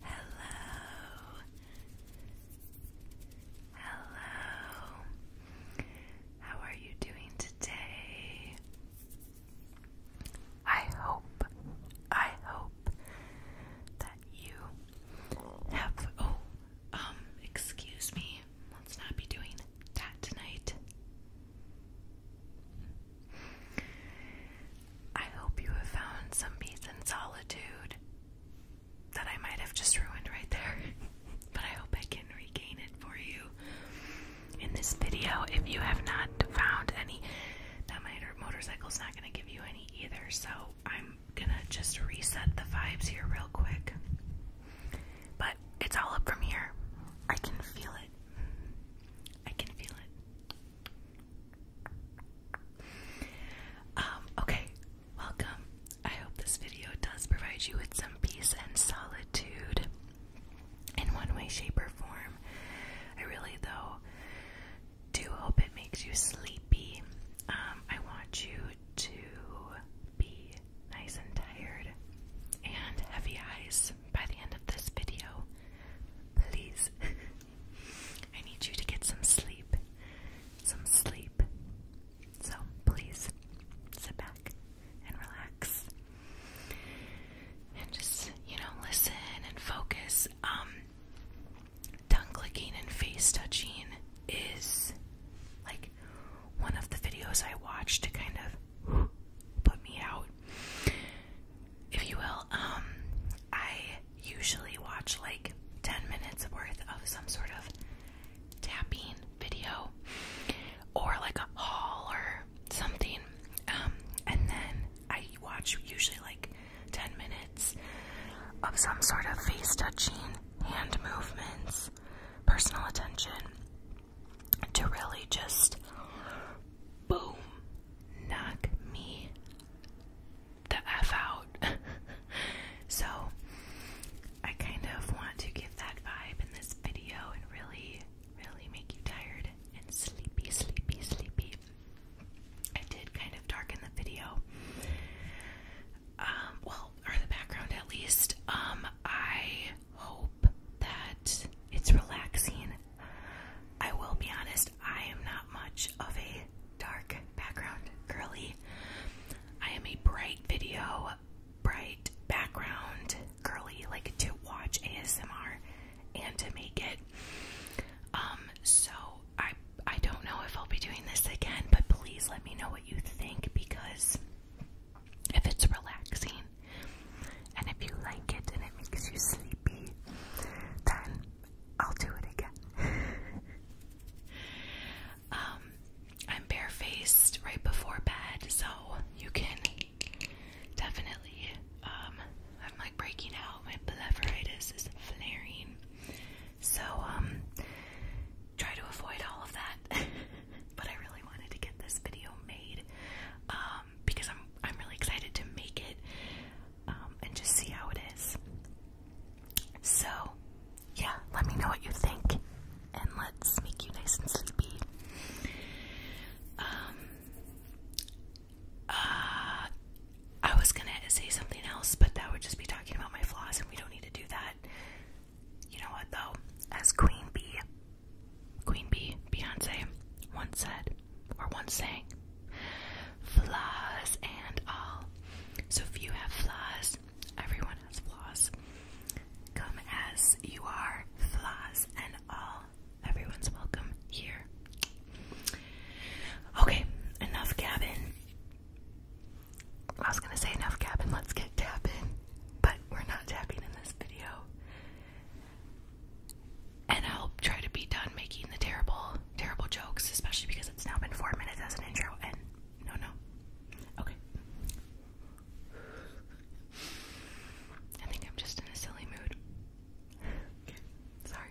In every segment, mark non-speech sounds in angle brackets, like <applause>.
Hello. Hello. How are you doing today? I hope, I hope that you have. Oh, um, excuse me. Let's not be doing that tonight. I hope you have found some peace and solitude that I might have just ruined right there. <laughs> but I hope I can regain it for you in this video. If you have not found any, that my motorcycle's not going to give you any either. So I'm going to just reset the vibes here real quick. But it's all up from here. I can feel it. I can feel it. Um, okay, welcome. I hope this video does provide you with some peace and solitude in one way, shape, or form. I really, though, do hope it makes you sleepy. Um, I want you to be nice and tired and heavy eyes by the end of this video. Please. <laughs> I need you to get some sleep. Some sleep. So please sit back and relax. And just, you know, listen and focus. Um tongue clicking and face touching is like one of the videos I watched to kind of put me out if you will. Um, I usually watch like 10 minutes worth of some sort of tapping video or like a haul or something. Um, and then I watch usually like 10 minutes of some sort of face touching, hand movements, personal attention to really just boom, knock me the F out. <laughs> so, I kind of want to give that vibe in this video and really, really make you tired and sleepy, sleepy, sleepy. I did kind of darken the video. Um, well, or the background at least. Um, I hope that it's relaxing. I will be honest, I am not much of a dark background girly. I am a bright video, bright background girly, like to watch ASMR and to make it. Um, so I I don't know if I'll be doing this again, but please let me know what you think because if it's relaxing, and if you like it and it makes you sleepy, then I'll do it again. <laughs> Um, I'm barefaced right before bed, so you can definitely. Um, I'm like breaking out. My blepharitis is flaring, so um, try to avoid all of that. <laughs> but I really wanted to get this video made. Um, um, because I'm I'm really excited to make it um, and just see how it is. So, yeah, let me know what you think, and let's make you nice and sleepy. Um, uh, I was gonna say something else, but that would just be talking about my flaws, and we don't need to do that. You know what, though? As Queen Bee, Queen Bee, Beyonce, once said, or once sang, flaws and all. So if you have flaws, everyone has flaws. Come as you are, flaws and all. Everyone's welcome here. Okay, enough cabin. I was gonna say enough cabin, let's get tapping, but we're not tapping in this video. And I'll try to be done making the terrible, terrible jokes, especially because it's now been four minutes as an intro. And no, no. Okay. I think I'm just in a silly mood. Sorry.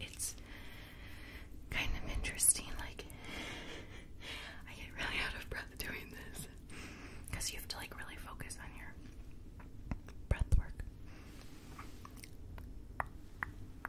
It's kind of interesting, like, I get really out of breath doing this because you have to, like, really focus on your breath work.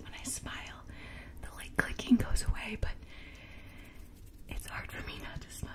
When I smile, the light clicking goes away, but it's hard for me not to smile.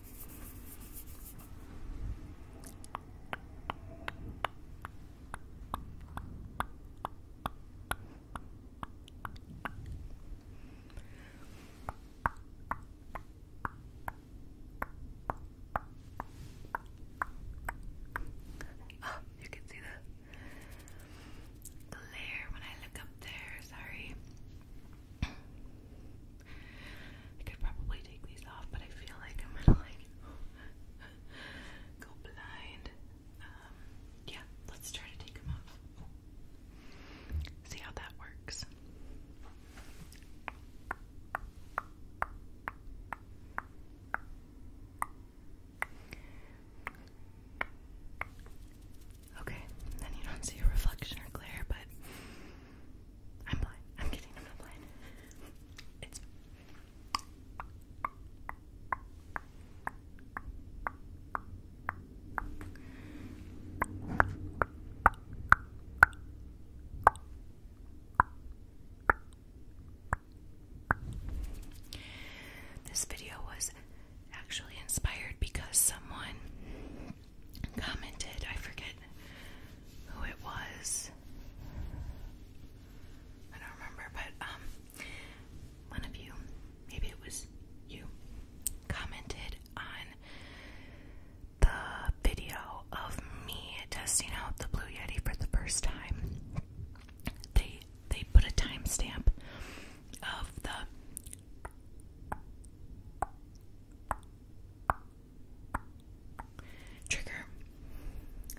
Oh, you can see the glare when I look up there. Sorry. I could probably take these off, but I feel like I'm gonna like <laughs> go blind. Um, yeah, let's try to take them off. See how that works. Okay, then you don't see a reflection or glare, but I'm blind. I'm kidding, I'm blind. this video was actually inspired because someone commented, I forget who it was. I don't remember, but um one of you, maybe it was you, commented on the video of me testing out the Blue Yeti for the first time. They they put a timestamp of the trigger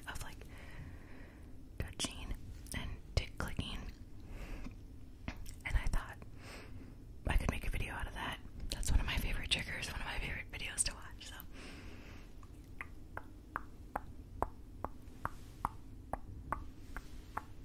of like touching and tick clicking. And I thought I could make a video out of that. That's one of my favorite triggers, one of my favorite videos to watch. So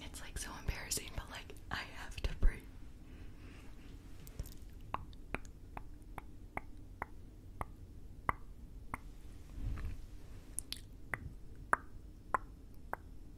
It's like so embarrassing, but like I have to breathe.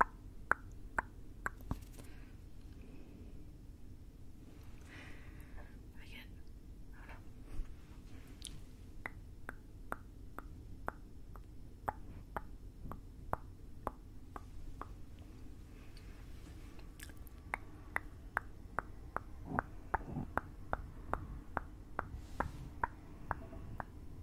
I get. Oh no.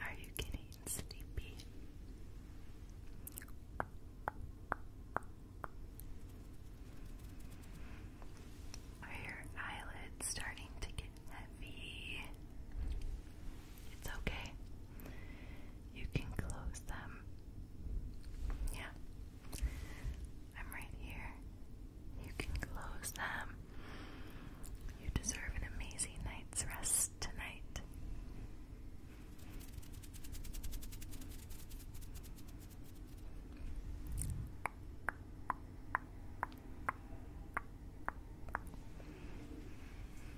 Are you getting sleepy? Are your eyelids starting to get heavy. It's okay. You can close them. Yeah. I'm right here. You can close them. You deserve an amazing night's rest tonight.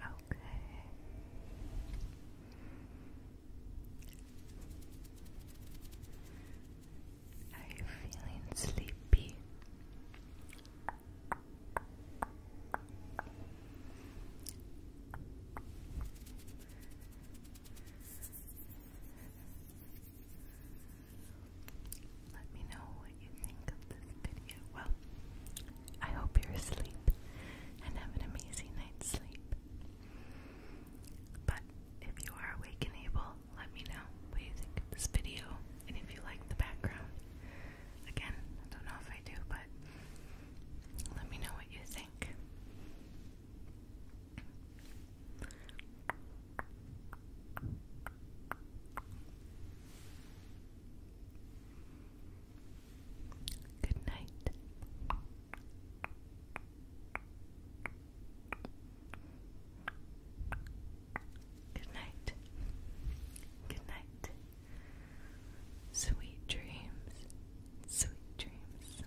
Okay. Are you feeling sleepy? Let me know I hope you're asleep and have an amazing night's sleep. But if you are awake and able, let me know what you think of this video and if you like the background. Again, I don't know if I do, but let me know what you think. Good night. Good night. Good night. Sweet dreams. Sweet dreams.